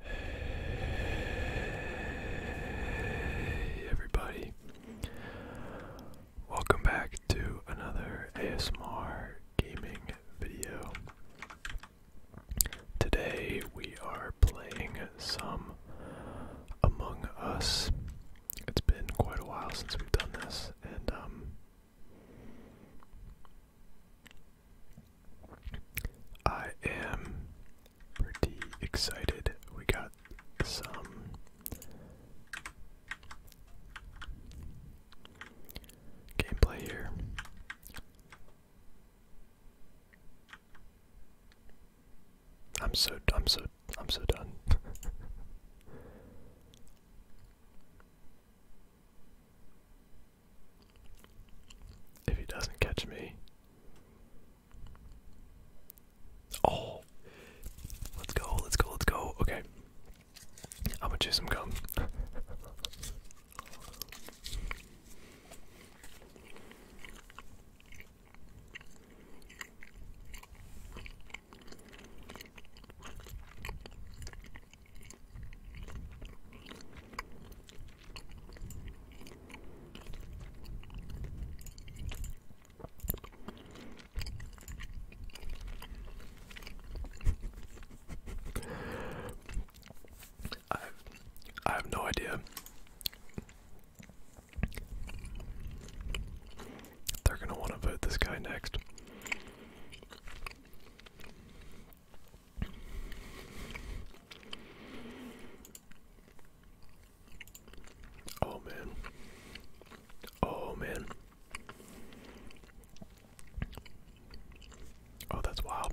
Hey everybody. Welcome back to another ASMR gaming video. Today we are playing some Among Us. It's been quite a while since we've done this and um I am pretty excited. We got some gameplay here. I'm so I'm so I'm so done. If he doesn't catch me. Oh! Let's go, let's go, let's go. Okay. I'm gonna chew some gum. I have no idea. They're gonna want to vote this guy next. Oh man. Oh man. Oh, that's wild.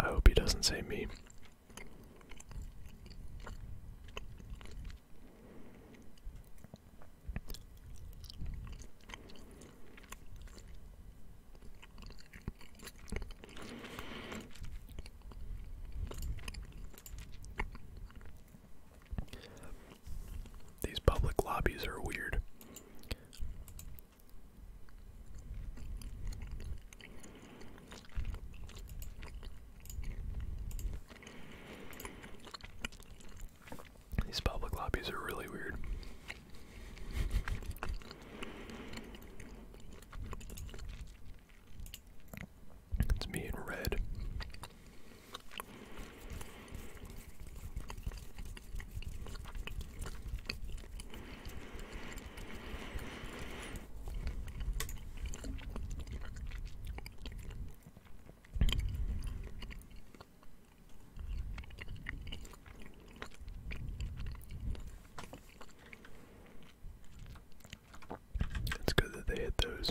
I hope he doesn't say me. These public lobbies are weird. These public lobbies are really weird. It's me in red. It's good that they hit those.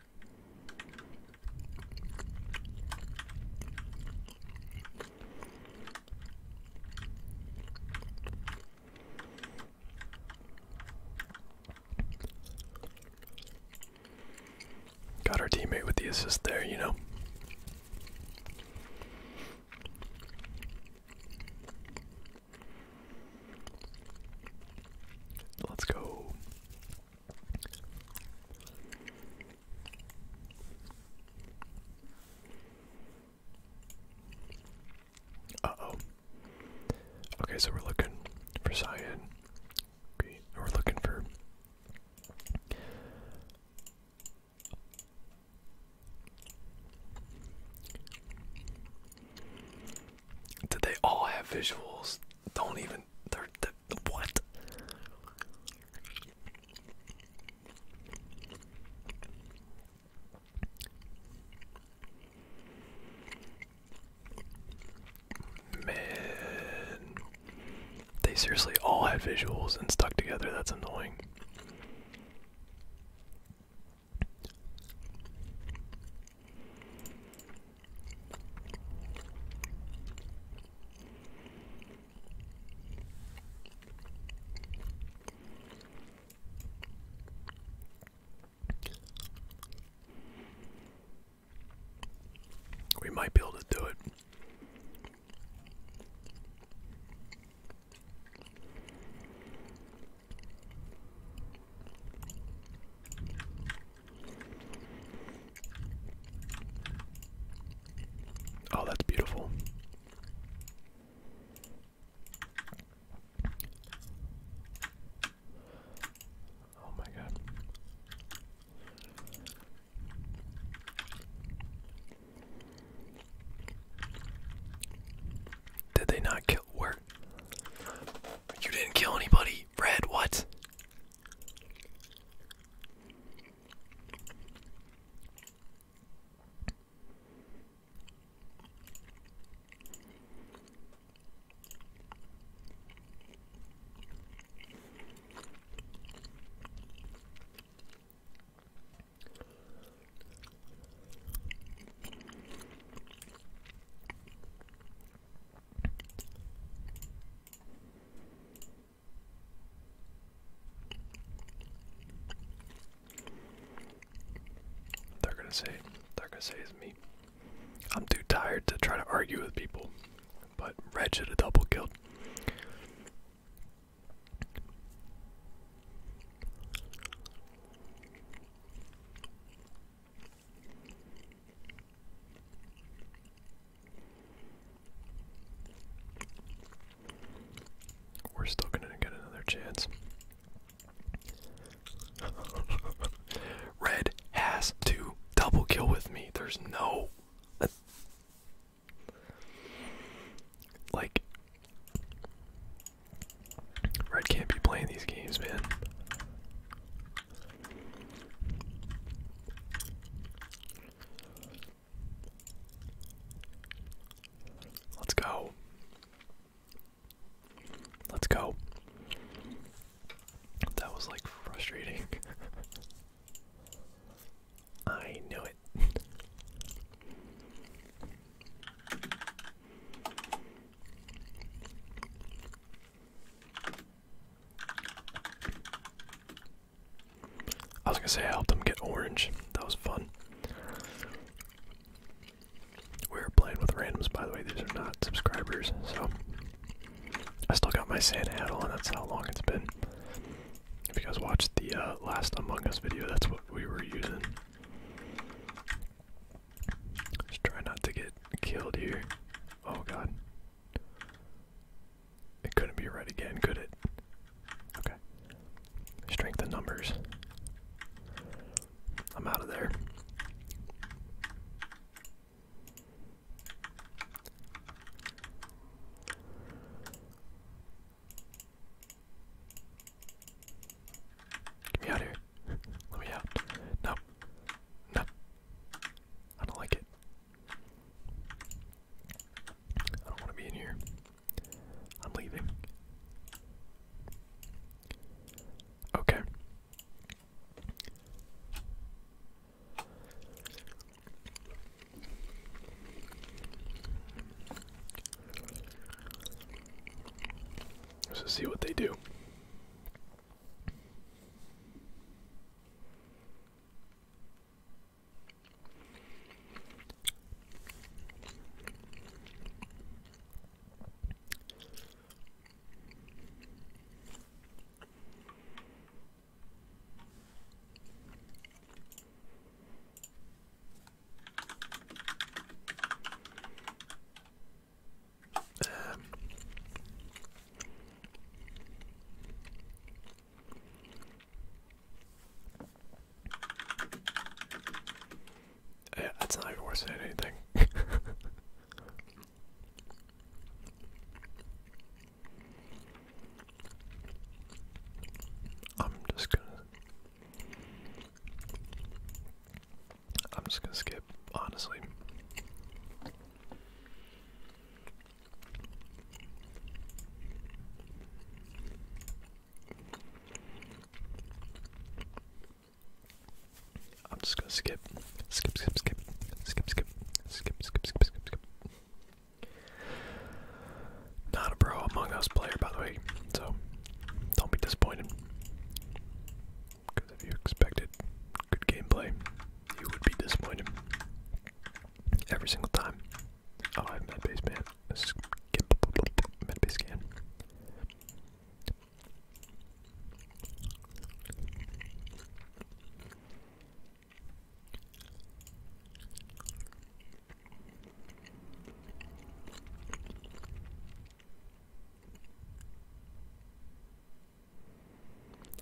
Got our teammate with the assist there, you know. Let's go. Uh oh. Okay, so we're looking for cyan. we're looking for. Did they all have visuals? Don't even. what? Man. They seriously all had visuals and stuck together. That's annoying. We might be able to do it. Oh, that's beautiful. Oh, my God. Did they not kill? Where? You didn't kill anybody. Red, what? They're gonna say, they're gonna say it's me. I'm too tired to try to argue with people, but Red should have double kill. We're still going to get another chance. Red has to double kill with me. There's no. like, Red can't be playing these games, man. Let's go. Let's go. That was like frustrating. I knew it. I was gonna say I helped them get orange. That was fun. We are playing with randoms, by the way. These are not subscribers, so I still got my sand hat and That's how long it's been. If you guys watched the uh, last Among Us video, that's what we were using. Just try not to get killed here. Oh god. It couldn't be right again, could it? Okay. Strength in numbers. I'm out of there. Get me out of here. Let me out. No. No. I don't like it. I don't want to be in here. I'm leaving. Okay. Let's see what they do. Um, yeah, that's not even worth saying anything. I'm just gonna I'm just gonna skip, honestly. I'm just gonna skip, skip, skip, skip, skip, skip, skip, skip, skip, skip, skip. Not a pro Among Us player, by the way, so don't be disappointed. Because if you expected good gameplay, you would be disappointed. Every single time. Oh, I have medbase man. Let's get medbase scan.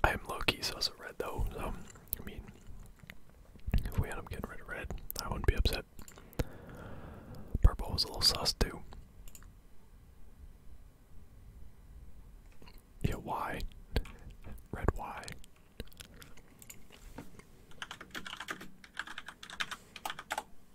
I am low key sus at red though, so I mean, if we end up getting rid of red, I wouldn't be upset. Purple was a little sus too. Yeah, why? Red, why?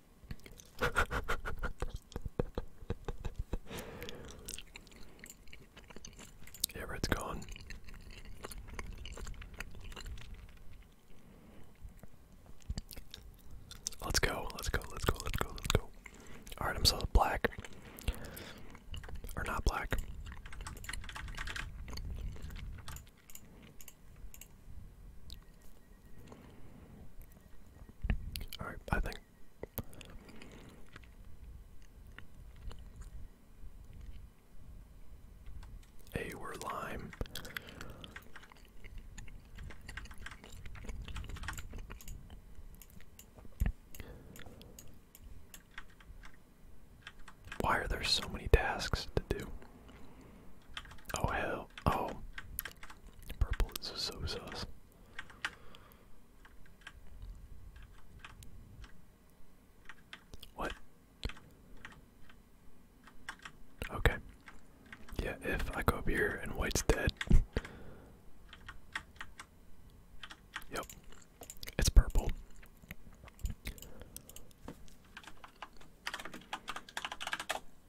yeah, red's gone. Let's go, let's go, let's go, let's go, let's go. Alright, I'm still black. Or not black. Alright, I think a were lime. Why are there so many tasks to do? Oh hell, oh. Purple is so sauce. What? Okay. Yeah, if I go up here and white's dead. yep. It's purple.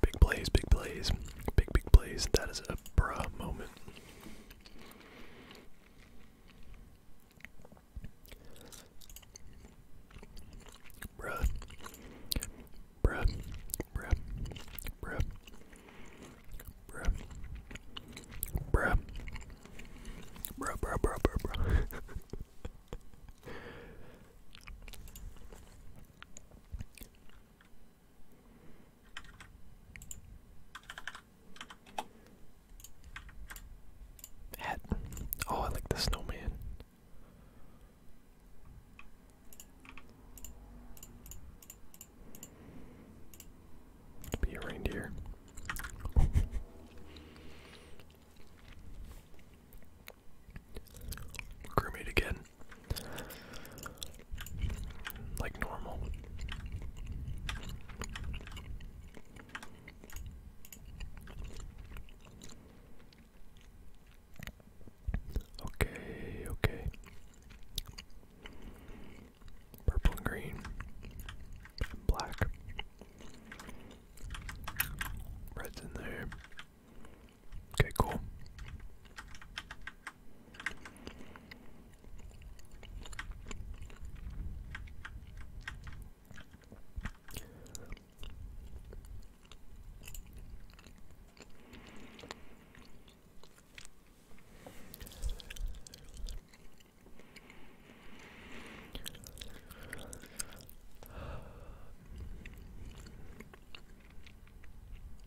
Big plays, big plays, big, big plays. That is a bruh moment. Bruh. Bruh. Bruh. Bruh. Bruh. Bruh. Bruh, bruh, bruh, bruh, bruh. Hat. Oh, I like the snowman. Be a reindeer. Crewmate again. Like normal. Okay, okay. Purple and green. Black. Red's in there. Okay, cool.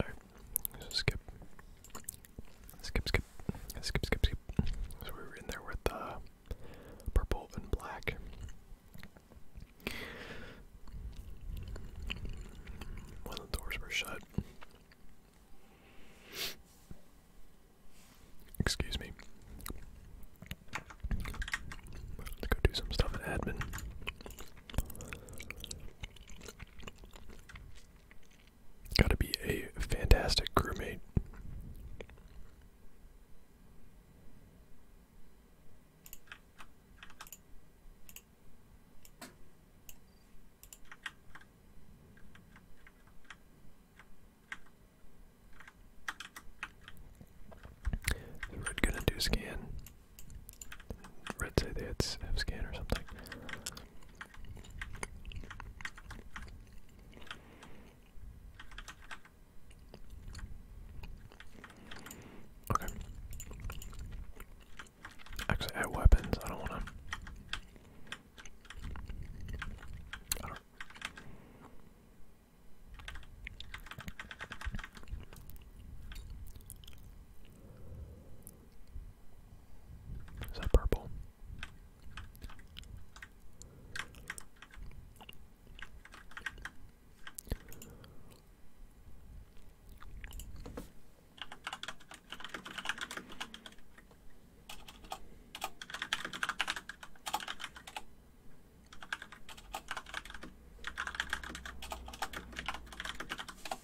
Alright, skip. Skip, skip. Skip, skip, skip. So we were in there with uh, purple and black. One the doors were shut. Excuse me. Let's go do some stuff in admin. Gotta be a fantastic crewmate. So gonna do scan. Red say they had F scan or something. Okay. Actually, I have weapons. I don't want to. I don't. Is that purple?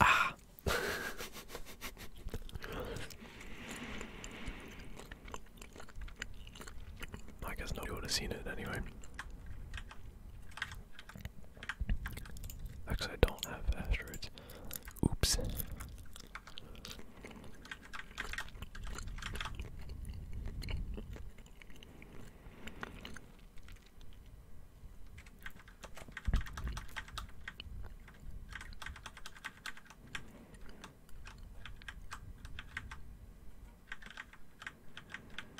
Ah. I guess nobody would have seen it anyway. Actually, I don't have asteroids. Oops.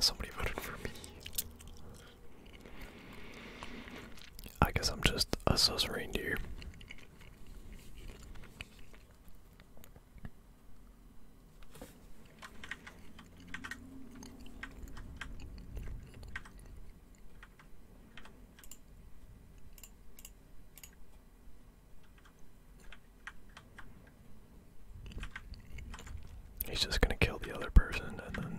Somebody voted for me. I guess I'm just a sus reindeer. He's just going to kill the other person and then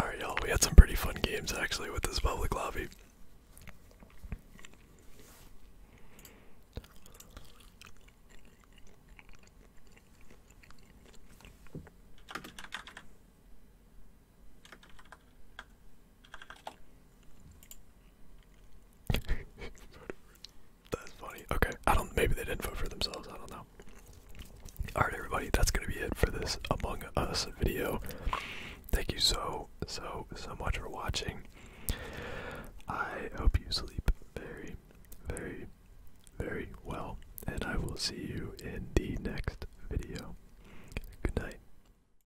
Alright, y'all, we had some pretty fun games actually with this public lobby that's funny. Okay, I don't. Maybe they didn't vote for themselves. I don't know. All right, everybody, that's gonna be it for this Among Us video. Thank you so so so much for watching. I hope you sleep very, very, very well, and I will see you in the next video. Good night.